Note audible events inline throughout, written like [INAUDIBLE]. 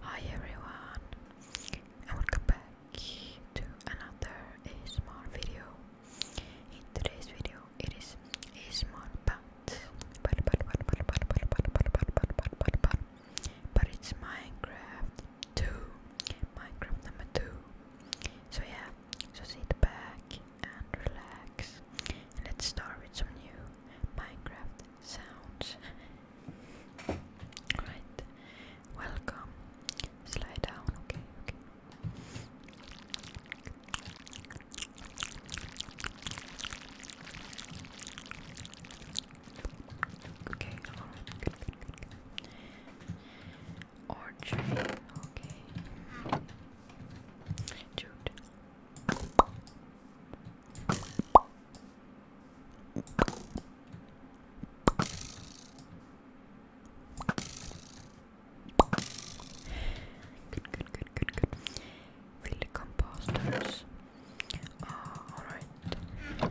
Hi everyone and welcome back to another small video. In today's video it is a small but but but but but but but but but but but but it's Minecraft 2 Minecraft number 2 So yeah so sit back and relax. And let's start with some new Minecraft sounds. Alright, welcome. Slide down, okay, okay. Okay, alright, good, good, good, good. Orchard, okay. Dude, Good, good, good, good, good. Fill the composters. Uh, all right.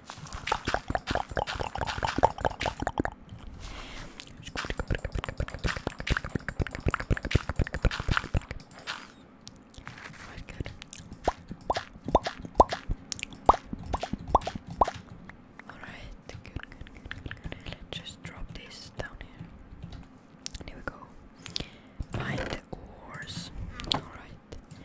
Alright, good, good, good, good, good. Let's just drop this down here. And here we go. Mind the oars. Alright.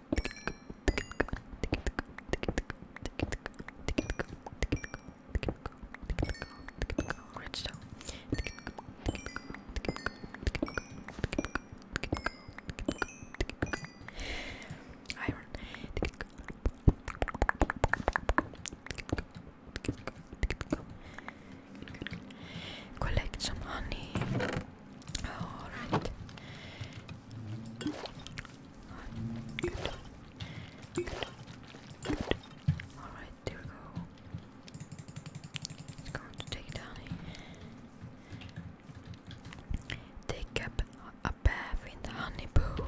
Redstone. Iron. Collect some honey. Alright. Alright, there we go. It's going to take down Take up a bath in the honey pool.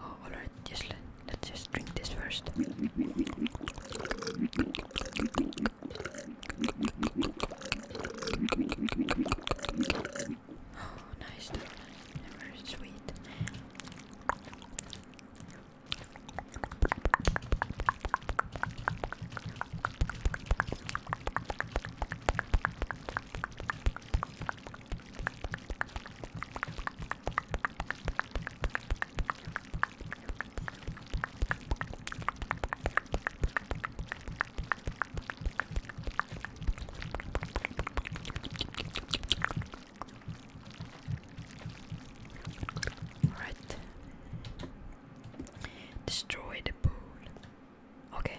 Oh, alright, just let, let's just drink this first. Oh, nice donut. Very sweet. Alright. Destroy the pool. Okay.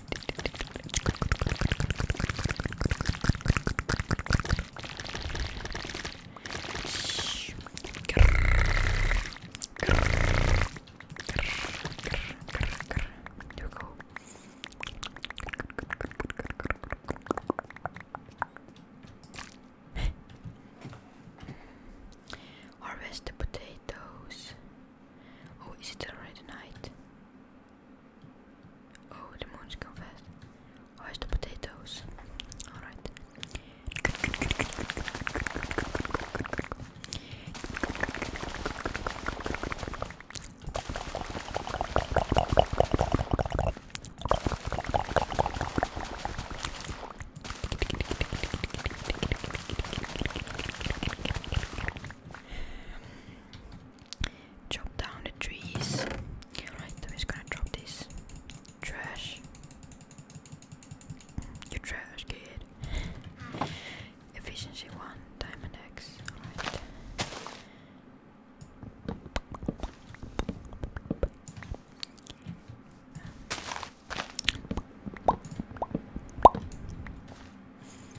Harvest the potatoes. Oh, is it already night? Oh, the moon's gone fast. Where's oh, the potatoes? Alright. Chop down the trees. Alright, i gonna drop this trash. You trash kid. Efficiency one, diamond X. Alright.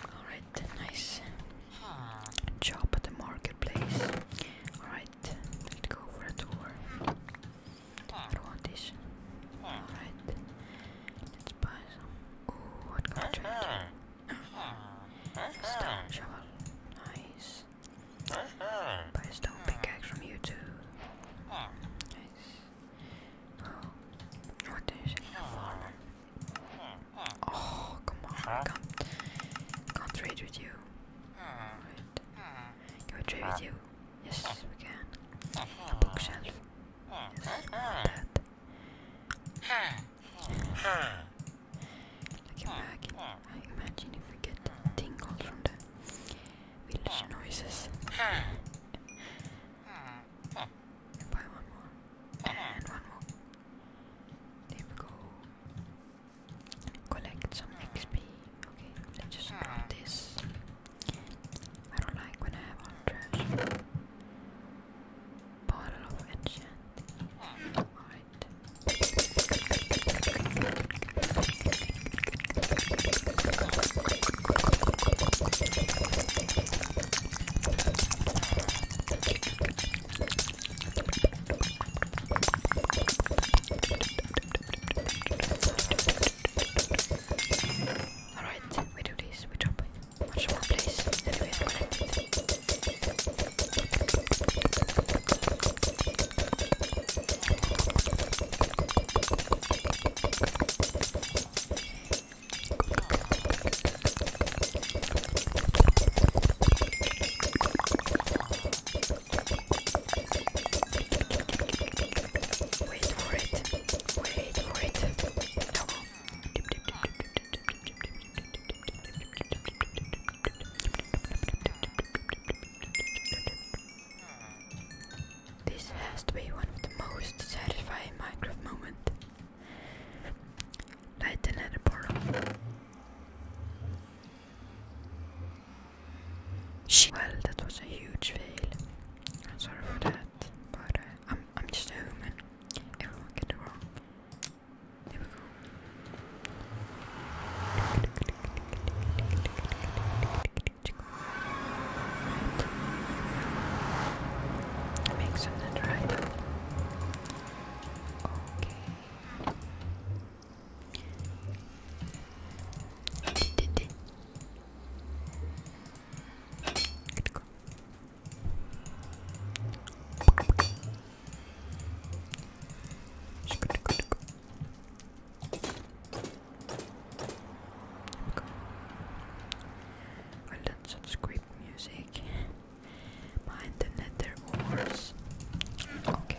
Alright, nice job at the marketplace. Alright, let's go for a tour. I don't want this. Alright, let's buy some. Ooh, what can I drink? Stone shovel. Nice. Buy a stone pickaxe from you too. Nice. Oh, come on. I can't, can trade with you. Can we trade with you? Yes, we can. A bookshelf. that. Like a I imagine if we get tingled from the village noises. Hmm buy one more. And one more. There we go. Collect some XP. Okay, let's just drop this. I don't like when I have all trash. Bottle of enchant. Alright. Alright, we do this, we drop it. Much more place that we have connected. Wait for it. Wait for it. No. This has to be one of the most satisfying Minecraft moments. Light another portal. well, that was a huge fail. sorry for that, but I'm I'm just a human. Everyone can do wrong. There we go. That makes sense, right? Okay. Did it. Good go. Good, good, good. Well, that's some music. Mind the nether ores. Okay.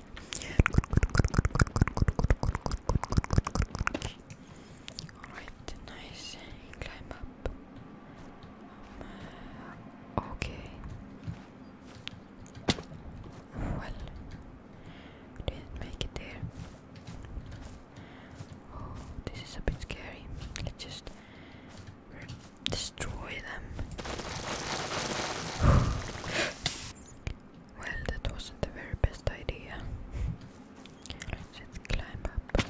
Alright, nice. Climb up. okay. Well, didn't make it there. Oh, this is a bit scary. Let's just destroy them. Well, that wasn't the very best idea. Let's climb up.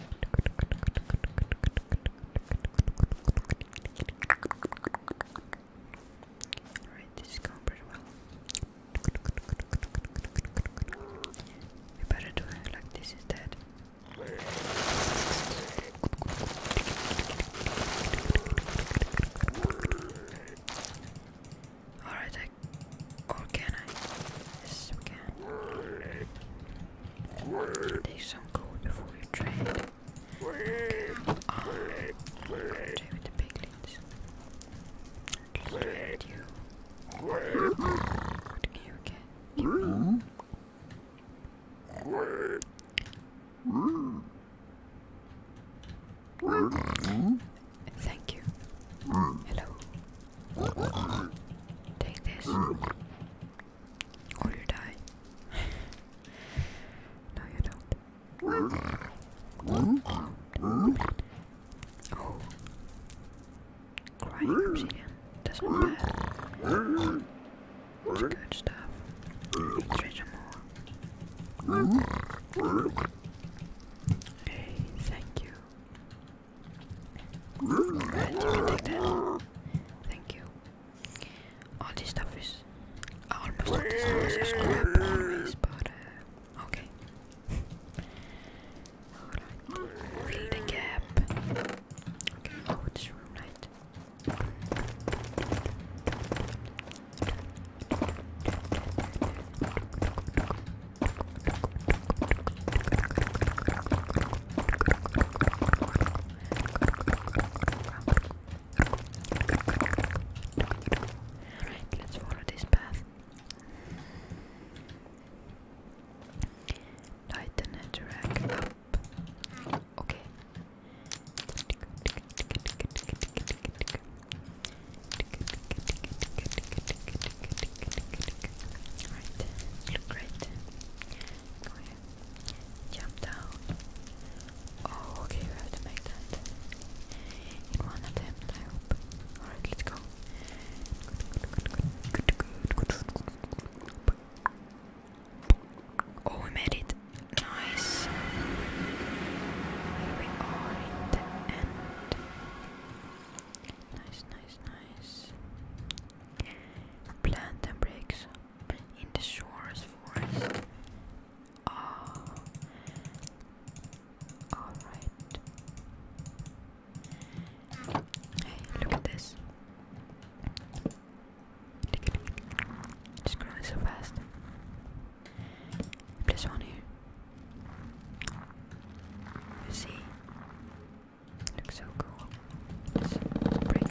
Alright, this is going pretty well. We better do like this instead. Alright, I. Or can I? Yes, we can. Take some gold before we trade. trade with the piglins. Trade you. What you get? Thank you. Hello. Take this. Or you die. [LAUGHS] no, you don't. Oh. Crying obsidian. That's not bad. It's good stuff. Treasure more. Hey, thank you. Right, thank you. All this stuff is almost all this stuff is crap always, but uh, okay. Alright, fill the gap. Okay, oh, this room right. Alright, let's follow this path. Lighten and drag up. Okay. Alright, look great. Go Jump down. Oh, okay, we have to make that in one attempt, I hope. Alright, let's go. Oh, we made it. Nice. Here we are in the end. Nice, nice, nice. Plant and breaks in the shores forest. Oh. Alright. Hey, look at this. It's growing so fast. Plus one here. see? Looks so cool. let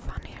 fun here.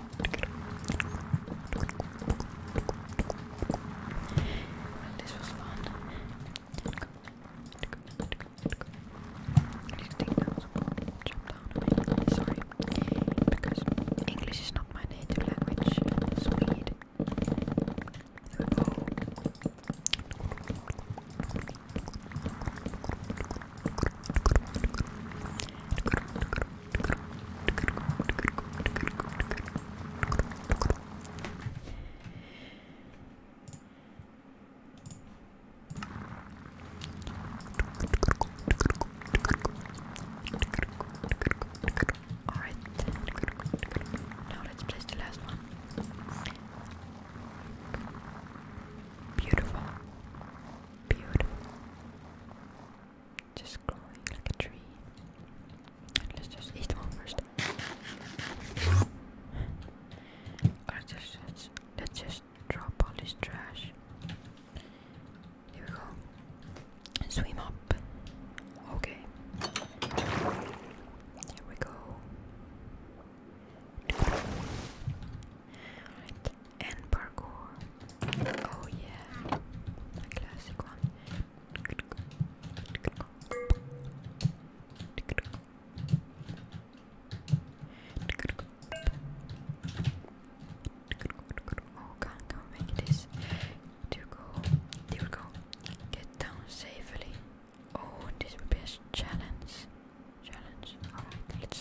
This was fun. These things jump down a bit. Sorry, because English is not my native language. Swede. Oh. Alright, now let's place the last one. Beautiful beautiful. Just growing like a tree. Let's just eat one first. let's, let's just drop all this trash. Here we go. swim up. Okay. Here we go and parkour. Oh yeah, a classic one. Oh, can't make this. To go, there go. Get down safely. Oh, this will be a challenge. Challenge. Alright, let's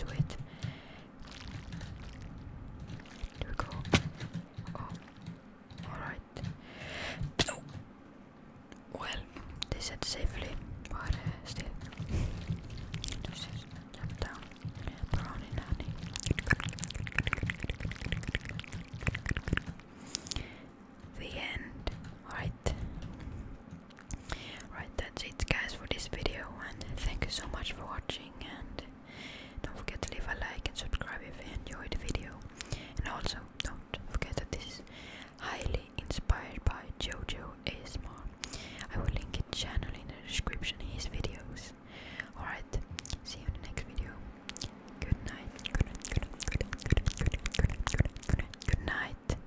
Here we go. Oh, alright. Well, they said safely, but uh, still. The end. Alright. Right, that's it guys for this video and thank you so much for watching and don't forget to leave a like and subscribe if you enjoyed the video. And also don't forget that this is highly inspired by Jojo Esma. I will link his channel in the description his videos. Alright, see you in the next video. Good night. Good night.